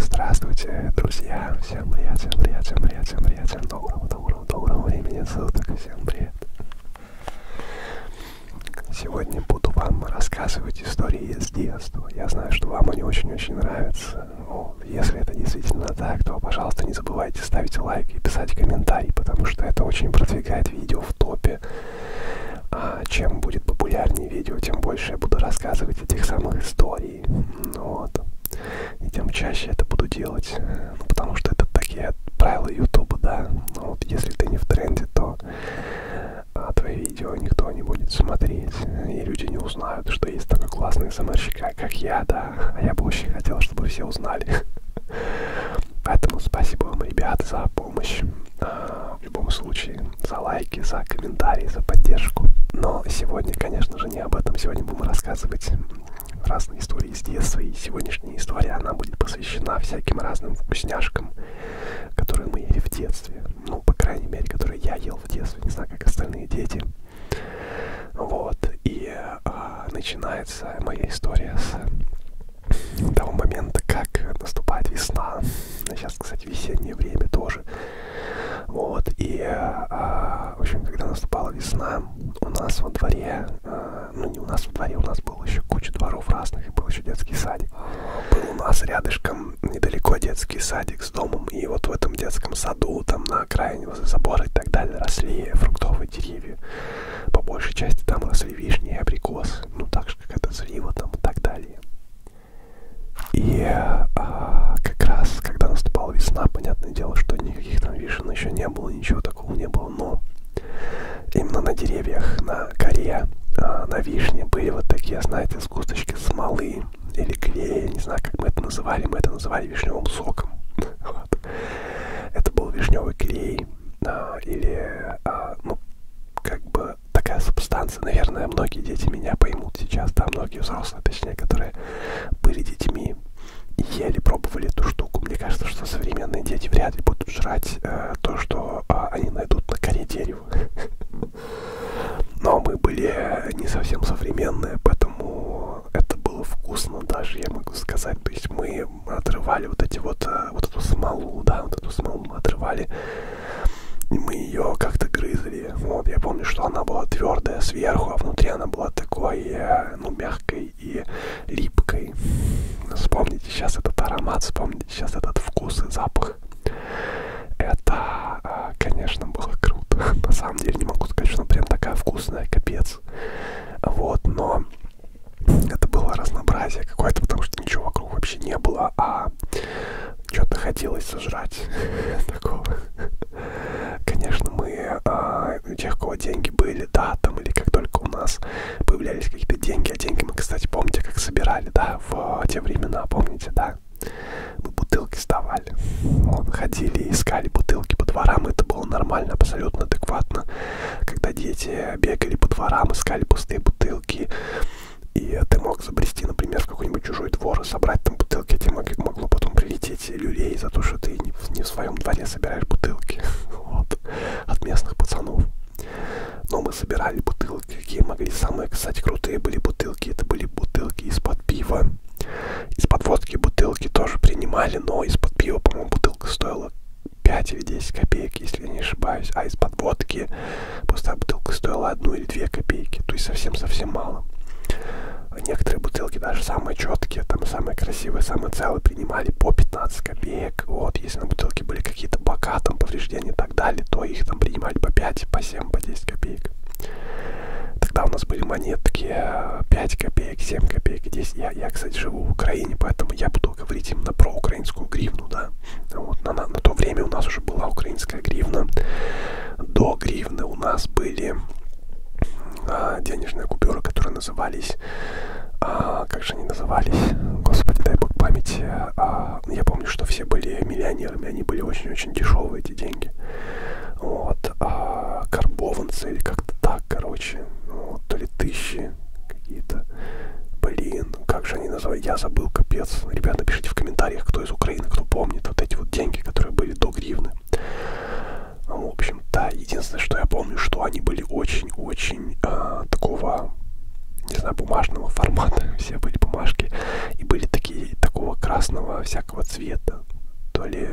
Здравствуйте, друзья! Всем привет, всем привет, всем привет, всем привет, всем доброго, доброго, доброго времени суток, всем привет! Сегодня буду вам рассказывать истории с детства. Я знаю, что вам они очень-очень нравятся. Ну, если это действительно так, то, пожалуйста, не забывайте ставить лайк и писать комментарий, потому что это очень продвигает будет видео в топе. А чем будет популярнее видео, тем больше я буду рассказывать этих самых историй. Вот. И тем чаще это буду делать. Ну, потому что это такие правила Ютуба, да. Ну, вот если ты не в тренде, то а, твои видео никто не будет смотреть. И люди не узнают, что есть такой классный СМРщик, а, как я, да. А я бы очень хотел, чтобы все узнали. Поэтому спасибо вам, ребята, за помощь. А, в любом случае, за лайки, за комментарии, за поддержку. Но сегодня, конечно же, не об этом. Сегодня будем рассказывать разные истории из детства. И сегодняшняя история, она будет посвящена всяким разным вкусняшкам, которые мы ели в детстве. Ну, по крайней мере, которые я ел в детстве. Не знаю, как остальные дети. Вот. И э, а, начинается моя история с того момента, как наступает весна. Сейчас, кстати, весеннее время тоже. Вот, и, а, в общем, когда наступала весна, у нас во дворе, а, ну не у нас во дворе, у нас было еще куча дворов разных, и был еще детский садик. Был у нас рядышком недалеко детский садик с домом, и вот в этом детском саду, там на окраине возле забора и так далее, росли фруктовые деревья. По большей части там росли вишни и абрикос, ну так же, как это слива там и так далее. И а, как раз, когда наступала весна, понятное дело, что никаких там вишен еще не было, ничего такого не было, но именно на деревьях, на коре, а, на вишне были вот такие, знаете, сгусточки смолы или клея, не знаю, как мы это называли, мы это называли вишневым соком. Вот. Это был вишневый клей а, или, а, ну, как бы такая субстанция. Наверное, многие дети меня поймут сейчас, да, многие взрослые, точнее, которые были детьми и еле пробовали эту штуку. Мне кажется, что современные дети вряд ли будут жрать а, то, что а, они найдут на коре дерева. Но мы были э, не совсем современные, поэтому это было вкусно даже, я могу сказать. То есть мы мы отрывали вот эти вот, э, вот эту смолу, да, вот эту смолу мы отрывали, и мы ее как-то грызли. Вот, я помню, что она была твердая сверху, а внутри она была такой, э, ну, мягкой и липкой. Вспомните сейчас этот аромат, вспомните сейчас этот вкус и запах. Это, э, конечно, было круто. На самом деле, не могу сказать, что она прям такая вкусная, капец. Вот, но это было разнообразие какое-то, потому что ничего вокруг вообще не было, а что-то хотелось сожрать такого. Конечно, мы а, тех, у кого деньги были, да, там, или как только у нас появлялись какие-то деньги, а деньги мы, кстати, помните, как собирали, да, в те времена, помните, да, мы бутылки сдавали, вот, ходили, искали бутылки по дворам, это было нормально, абсолютно адекватно, когда дети бегали по дворам, искали пустые бутылки, и ты мог забрести, например, в какой-нибудь чужой двор и собрать там бутылки, а тебе могло потом прилететь люлей за то, что ты не, не в своем дворе собираешь бутылки вот, от местных пацанов. Но мы собирали бутылки, какие могли. Самые, кстати, крутые были бутылки. Это были бутылки из-под пива. Из-под водки бутылки тоже принимали, но из-под пива, по-моему, бутылка стоила стоила 5 или 10 копеек, если я не ошибаюсь, а из-под водки пустая бутылка стоила 1 или 2 копейки, то есть совсем-совсем мало. Некоторые бутылки, даже самые четкие, там самые красивые, самые целые, принимали по 15 копеек. Вот, если на бутылке были какие-то бока, там повреждения и так далее, то их там принимали по 5, по 7, по 10 копеек. Тогда у нас были монетки 5 э, копеек, 7 копеек, 10. Я я, я, кстати, живу в Украине, поэтому я буду говорить именно про украинскую гривну, да. Вот, на, на, на то время у нас уже была украинская гривна. До гривны у нас были а, денежные купюры, которые назывались... А, как же они назывались? Господи, дай бог памяти. А, я помню, что все были миллионерами, они были очень-очень дешевые, эти деньги. Вот. А, карбованцы или как-то так, короче ну, то ли тысячи какие-то. Блин, как же они называют? Я забыл, капец. Ребята, пишите в комментариях, кто из Украины, кто помнит вот эти вот деньги, которые были до гривны. Ну, в общем, да, единственное, что я помню, что они были очень-очень э, такого, не знаю, бумажного формата. Все были бумажки. И были такие, такого красного всякого цвета. То ли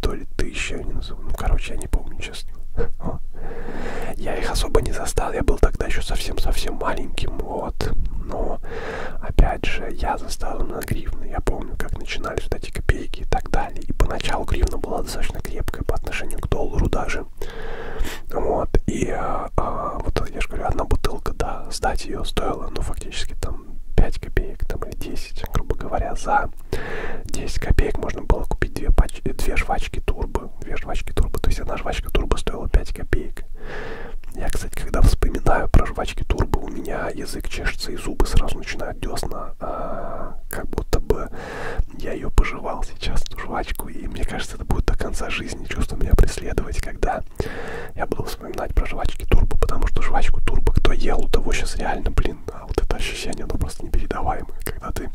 то ли тысяча они называют. Ну, короче, я не помню, честно. Я их особо не застал, я был тогда еще совсем-совсем маленьким, вот. Но, опять же, я застал на гривны. Я помню, как начинались вот эти копейки и так далее. И поначалу гривна была достаточно крепкая по отношению к доллару даже. Вот, и а, а, вот я же говорю, одна бутылка, да, сдать ее стоила, ну, фактически там 5 копеек, там, или 10, грубо говоря, за за 10 копеек можно было купить две, пач... две жвачки турбо. Две жвачки турбо. То есть одна жвачка турбо стоила 5 копеек. Я, кстати, когда вспоминаю про жвачки турбо, у меня язык чешется и зубы сразу начинают десна. А, как будто бы я ее пожевал сейчас, эту жвачку. И мне кажется, это будет до конца жизни чувство меня преследовать, когда я буду вспоминать про жвачки турбо. Потому что жвачку турбо, кто ел, у того сейчас реально, блин, а вот это ощущение, оно просто непередаваемое, когда ты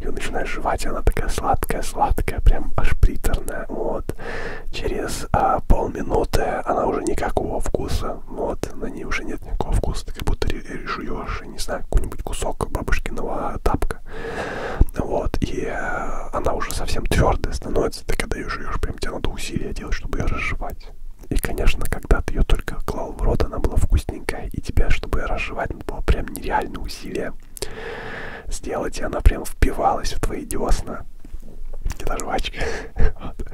ее начинаешь жевать, она такая сладкая-сладкая, прям аж приторная, вот. Через а, полминуты она уже никакого вкуса, вот, на ней уже нет никакого вкуса, ты как будто жуешь, не знаю, какой-нибудь кусок бабушкиного тапка, вот, и а, она уже совсем твердая становится, ты когда ее жуешь, прям тебе надо усилия делать, чтобы ее разжевать. И, конечно, когда ты ее только клал в рот, она была вкусненькая, и тебя, чтобы разжевать, надо было прям нереальное усилие сделать, и она прям впивалась в твои десна. Это жвачка. вот.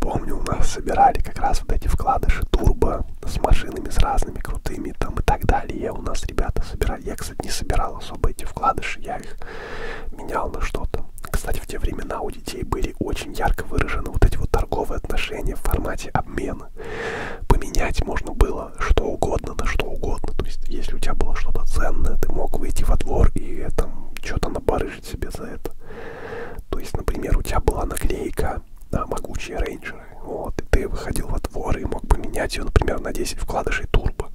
Помню, у нас собирали как раз вот эти вкладыши турбо с машинами, с разными крутыми там и так далее. У нас ребята собирали. Я, кстати, не собирал особо эти вкладыши, я их менял на что-то. Кстати, в те времена у детей были очень ярко выражены вот эти вот торговые отношения в формате обмена. Поменять можно было что угодно на что угодно. То есть, если у тебя было что-то ценное, ты мог выйти во двор и э, там что-то набарыжить себе за это. То есть, например, у тебя была наклейка на могучие рейнджеры. Вот, и ты выходил во двор и мог поменять ее, например, на 10 вкладышей турбо.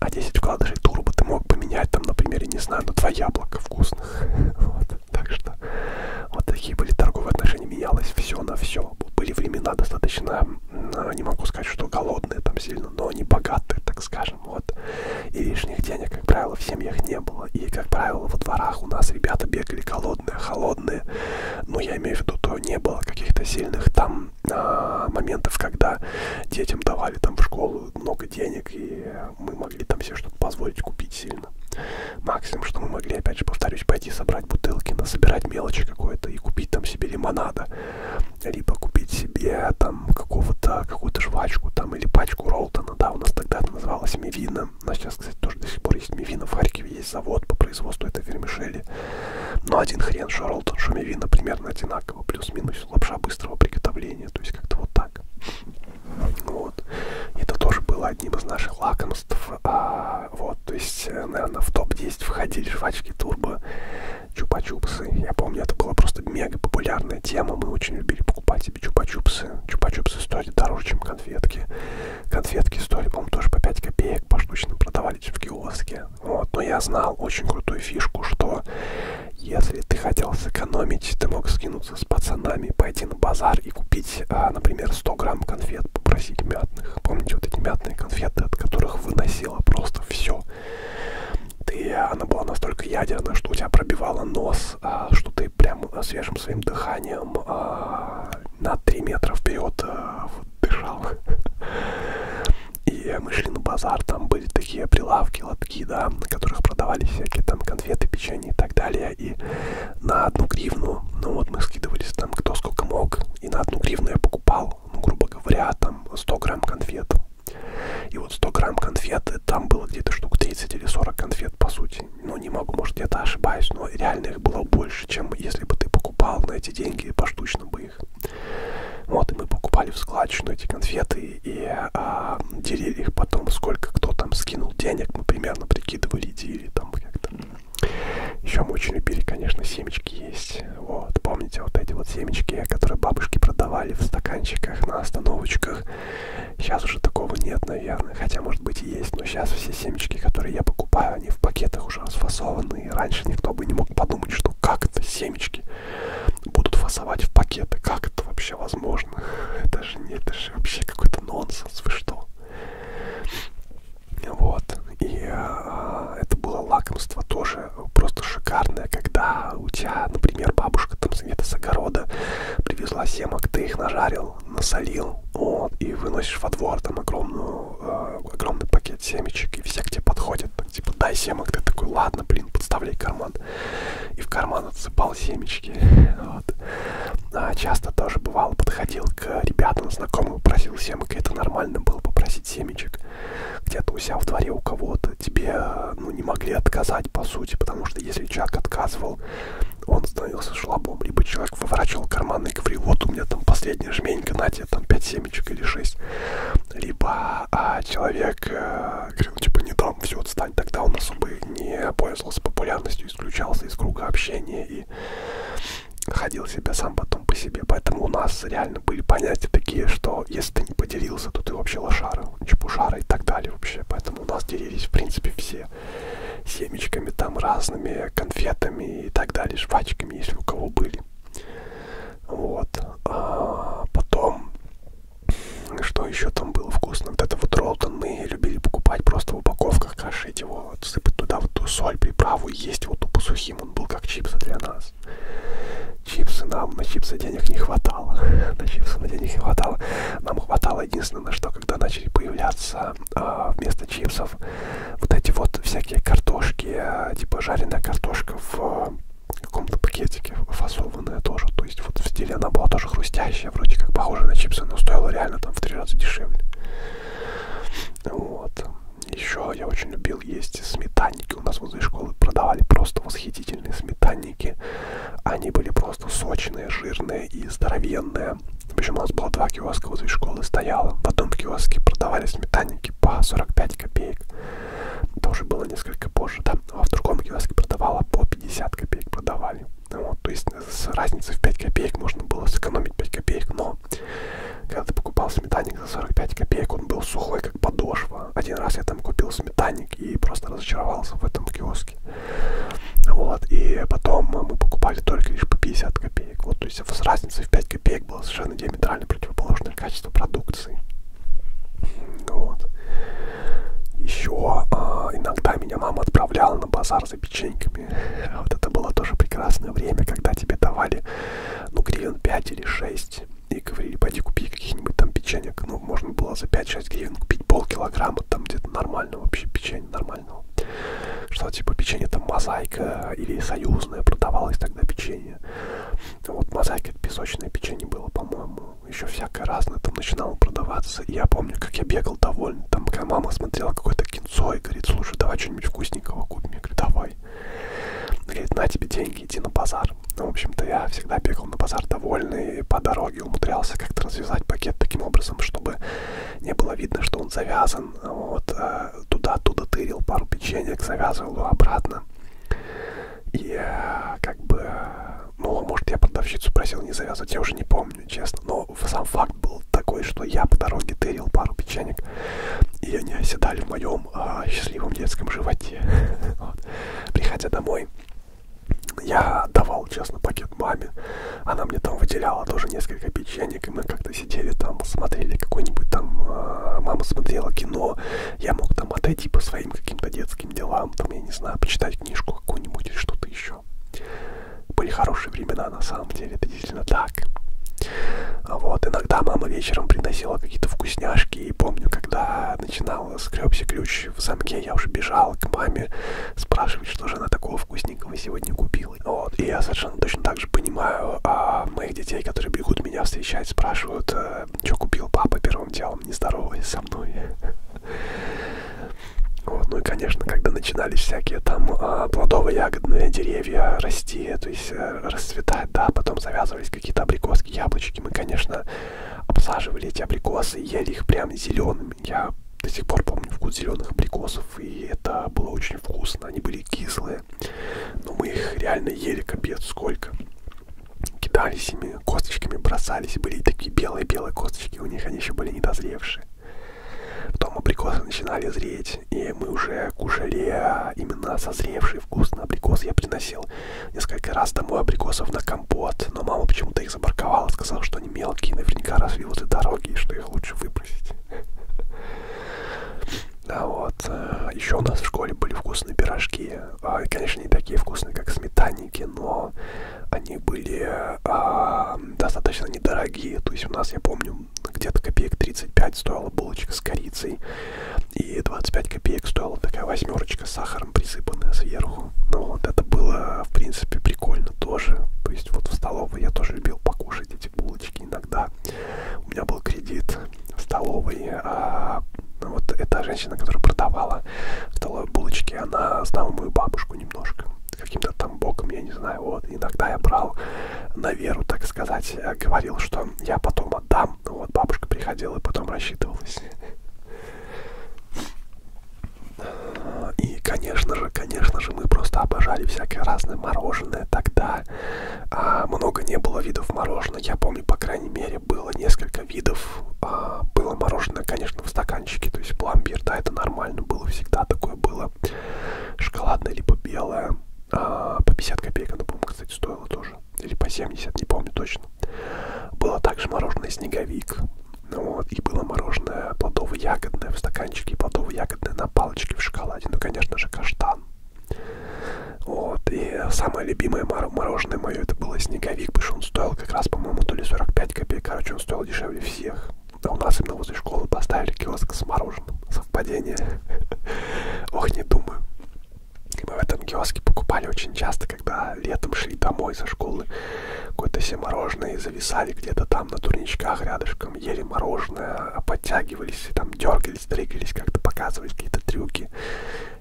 А 10 вкладышей турбо ты мог поменять там, например, я не знаю, на 2 яблока вкусно известных. Вот. Так что вот такие были торговые отношения. Менялось все на все. Были времена достаточно, не могу сказать, что голодные там сильно, но они богатые, так скажем. Вот. И лишних денег, как правило, в семьях не было. И, как правило, во дворах у нас ребята бегали голодные, холодные. Но я имею в виду, то не было каких-то сильных там а, моментов, когда детям давали там в школу много денег и мы могли там себе что-то позволить купить сильно. Максимум, что мы могли, опять же, повторюсь, пойти собрать бутылки, насобирать мелочи какое-то и купить там себе лимонада. Либо купить себе там какого-то, какую-то жвачку там или пачку Ролтона. Да, у нас тогда это называлось Мивина. У нас сейчас, кстати, тоже до сих пор есть Мивина. В Харькове есть завод по производству этой вермишели. Но один хрен, что Ролтон, что Мивина примерно одинаково. Плюс-минус лапша быстрого приготовления. То есть как-то вот так. Вот. Это тоже было одним из наших лакомств. А, вот, то есть, э, наверное, в топ-10 входили жвачки турбо, чупа-чупсы. Я помню, это была просто мега популярная тема. Мы очень любили покупать себе чупа-чупсы. Чупа-чупсы стоили дороже, чем конфетки. Конфетки стоили, по-моему, тоже по 5 копеек поштучно продавались в киоске. Вот. Но я знал очень крутую фишку, что если ты хотел сэкономить, ты мог скинуться с пацанами, пойти на базар и купить, а, например, 100 грамм конфет, попросить мятных. Помните вот эти мятные конфеты, от которых выносило просто все. Ты, она была настолько ядерная, что у тебя пробивала нос, а, что ты прям а, свежим своим дыханием а, на 3 метра вперед а, дышал. И мы шли на базар, там были такие прилавки, лотки, да, на которых продавались всякие там конфеты, печенье и так далее. И на одну гривну, ну вот мы скидывались там кто сколько мог, и на одну гривну я покупал, ну, грубо говоря, там 100 грамм конфет. И вот 100 грамм конфет, э, там было где-то штук 30 или 40 конфет, по сути. Ну, не могу, может, где-то ошибаюсь, но реально их было больше, чем если бы ты покупал на эти деньги поштучно бы их. Вот, и мы покупали в складчину эти конфеты, и, и а, делили их потом, сколько кто там скинул денег, мы примерно прикидывали, делили там как-то. Еще мы очень любили, конечно, семечки есть. Вот, помните вот эти вот семечки, которые бабушки продавали в стаканчиках на остановочках. Сейчас уже такого нет, наверное. Хотя, может быть, и есть, но сейчас все семечки, которые я покупаю, они в пакетах уже расфасованы. И раньше никто бы не мог подумать, что как это семечки будут фасовать в пакеты. Как это вообще возможно? Это же не, это же вообще какой-то нонсенс, вы что? Вот. И э, это было лакомство тоже просто шикарное, когда у тебя, например, бабушка там где-то с огорода привезла семок, ты их нажарил, насолил, вот, и выносишь во двор там огромную, э, огромный пакет семечек, и все к тебе подходят, так, типа, дай семок, ты такой, ладно, блин, подставляй карман и в карман отсыпал семечки. Вот. А часто тоже бывало, подходил к ребятам, знакомым, просил семок, и это нормально было попросить семечек. Где-то у себя в дворе у кого-то тебе ну, не могли отказать, по сути, потому что если человек отказывал, он становился шлабом, либо человек выворачивал карманы и говорил, вот у меня там последняя жменька, на тебе там 5 семечек или 6. Либо а, человек э, говорил, типа, не дам, все, отстань Сталь тогда он особо не пользовался популярностью, исключался из круга общения и ходил себя сам потом по себе. Поэтому у нас реально были понятия такие, что если ты не поделился, то ты вообще лошара, чепушара и так далее вообще. Поэтому у нас делились, в принципе, все семечками, там разными конфетами и так далее, жвачками, если у кого были. Вот. А потом что еще там было вкусно? Вот это вот ролтон мы любили покупать просто в упаковках, кашить его, вот, сыпать туда вот ту соль, приправу и есть вот тупо сухим. Он был как чипсы для нас. Чипсы нам, на чипсы денег не хватало. На чипсы на денег не хватало. Нам хватало единственное, что когда начали появляться э, вместо чипсов вот эти вот всякие картошки, э, типа жареная картошка в каком-то пакетике фасованная тоже. То есть вот в стиле она была тоже хрустящая, вроде как похожа на чипсы, но стоила реально там в три раза дешевле. Вот. Еще я очень любил есть сметанники. У нас возле школы продавали просто восхитительные сметанники. Они были просто сочные, жирные и здоровенные. Причем у нас было два киоска возле школы стояло. В одном киоске продавали сметанники по 45 копеек, тоже было несколько позже, да. А в другом киоске продавала по 50 копеек продавали. Вот, то есть э, с разницей в 5 копеек можно было сэкономить 5 копеек, но когда ты покупал сметанник за 45 копеек, он был сухой, как подошва. Один раз я там купил сметанник и просто разочаровался в этом киоске. Вот, и потом мы покупали только лишь по 50 копеек. Вот, то есть с разницей в 5 копеек было совершенно диаметрально противоположное качество продукции. Вот. Еще а, иногда меня мама отправляла на базар за печеньками. Вот это было тоже прекрасное время, когда тебе давали, ну, гривен 5 или 6. И говорили, пойди купи каких-нибудь там печенек. Ну, можно было за 5-6 гривен купить полкилограмма там где-то нормального вообще печенья нормального. Что типа печенье там мозаика или союзное продавалось тогда печенье. Вот мозаика это песочное печенье было, по-моему еще всякое разное там начинало продаваться. И я помню, как я бегал довольный, там, когда мама смотрела какое-то кинцо и говорит, слушай, давай что-нибудь вкусненького купим. Я говорю, давай. Говорит, на тебе деньги, иди на базар. Ну, в общем-то, я всегда бегал на базар довольный, и по дороге умудрялся как-то развязать пакет таким образом, чтобы не было видно, что он завязан. Вот, э, туда-туда тырил пару печенек, завязывал его обратно. И как бы, ну, может, я продавщицу просил не завязывать, я уже не помню, честно. Но сам факт был такой, что я по дороге тырил пару печенек, и они оседали в моем а, счастливом детском животе. Вот. Приходя домой, я давал, честно, пакет маме. Она мне там выделяла тоже несколько печенек, и мы как-то сидели там, смотрели какой-нибудь там... А, мама смотрела кино, я мог там отойти по своим каким-то детским светским делам, там, я не знаю, почитать книжку какую-нибудь или что-то еще. Были хорошие времена, на самом деле, это действительно так. Вот, иногда мама вечером приносила какие-то вкусняшки, и помню, когда начинал скребся ключ в замке, я уже бежал к маме спрашивать, что же она такого вкусненького сегодня купила. Вот, и я совершенно точно так же понимаю а, моих детей, которые бегут меня встречать, спрашивают, а, что купил папа первым делом, не здороваясь со мной. Вот, ну и, конечно, когда начинались всякие там а, плодово-ягодные деревья расти, то есть э, расцветать, да, потом завязывались какие-то абрикоски, яблочки. Мы, конечно, обсаживали эти абрикосы и ели их прям зелеными. Я до сих пор помню вкус зеленых абрикосов, и это было очень вкусно. Они были кислые, но мы их реально ели капец сколько кидались ими косточками, бросались, были такие белые-белые косточки, у них они еще были недозревшие. Потом абрикосы начинали зреть, и мы уже кушали а, именно созревший вкусный абрикос. Я приносил несколько раз домой абрикосов на компот, но мама почему-то их забарковала, сказала, что они мелкие, наверняка росли возле дороги, и что их лучше выбросить. А вот э, еще у нас в школе были вкусные пирожки а, конечно, не такие вкусные, как сметанники, но они были а, достаточно недорогие. То есть у нас, я помню, где-то копеек 35 стоила булочка с корицей, и 25 копеек стоила такая восьмерочка с сахаром, присыпанная сверху. Ну вот это было, в принципе, прикольно тоже. То есть вот в столовой я тоже любил покушать эти булочки иногда. У меня был кредит, столовой. А вот эта женщина, которая продавала столовые булочки, она знала мою бабушку немножко. Каким-то там боком, я не знаю. Вот. Иногда я брал на веру, так сказать, э, говорил, что я потом отдам. Ну вот бабушка приходила и потом рассчитывалась. И, конечно же, конечно же, мы просто обожали всякое разное мороженое тогда. А, много не было видов мороженого. Я помню, по крайней мере, было несколько видов а, было мороженое, конечно, в стаканчике. То есть пломбир, да, это нормально было всегда. Такое было шоколадное, либо белое. А, по 50 копеек оно, по-моему, кстати, стоило тоже. Или по 70, не помню точно. Было также мороженое снеговик. Вот, и было мороженое плодово-ягодное в стаканчике, плодово-ягодное на палочке в шоколаде. Ну, конечно же, каштан. Вот, и самое любимое мороженое мое, это было снеговик, потому что он стоил как раз, по-моему, то ли 45 копеек, короче, он стоил дешевле всех. А у нас именно возле школы поставили киоск с мороженым. Совпадение. Ох, не думаю. И мы в этом киоске покупали очень часто, когда летом шли домой со школы. Какое-то все мороженое и зависали где-то там на турничках рядышком, ели мороженое, а подтягивались, там дергались, двигались, как-то показывали какие-то трюки.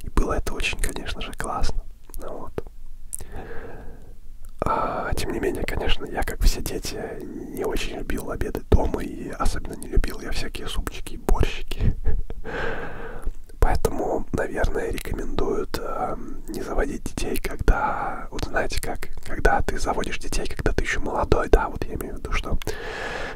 И было это очень, конечно же, классно. Ну вот. А, тем не менее, конечно, я, как все дети, не очень любил обеды дома, и особенно не любил я всякие супчики и борщики. Поэтому, наверное, рекомендуют э, не заводить детей, когда, вот знаете как, когда ты заводишь детей, когда ты еще молодой, да, вот я имею в виду, что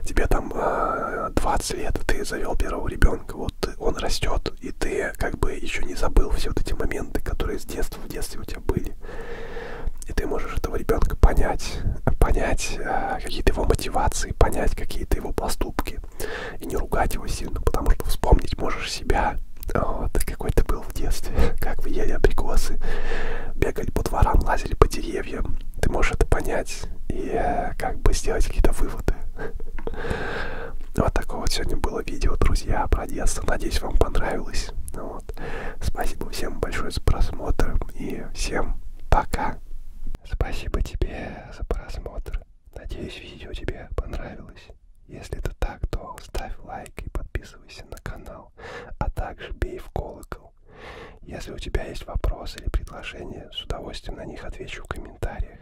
тебе там э, 20 лет, ты завел первого ребенка, вот он растет, и ты как бы еще не забыл все вот эти моменты, которые с детства в детстве у тебя были. И ты можешь этого ребенка понять, понять э, какие-то его мотивации, понять какие-то его поступки. И не ругать его сильно, потому что вспомнить можешь себя, вот, какой ты был в детстве, как вы ели абрикосы, бегали по дворам, лазили по деревьям. Ты можешь это понять, читать и как бы сделать какие-то выводы. Вот такое вот сегодня было видео, друзья, про детство. Надеюсь, вам понравилось. Вот. Спасибо всем большое за просмотр и всем пока. Спасибо тебе за просмотр. Надеюсь, видео тебе понравилось. Если это так, то ставь лайк и подписывайся на канал, а также бей в колокол. Если у тебя есть вопросы или предложения, с удовольствием на них отвечу в комментариях.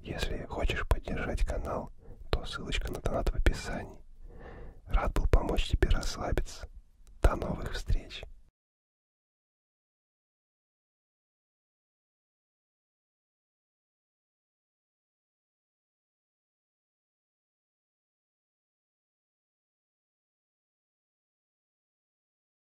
Если хочешь поддержать канал, то ссылочка на донат в описании. Рад был помочь тебе расслабиться. До новых встреч!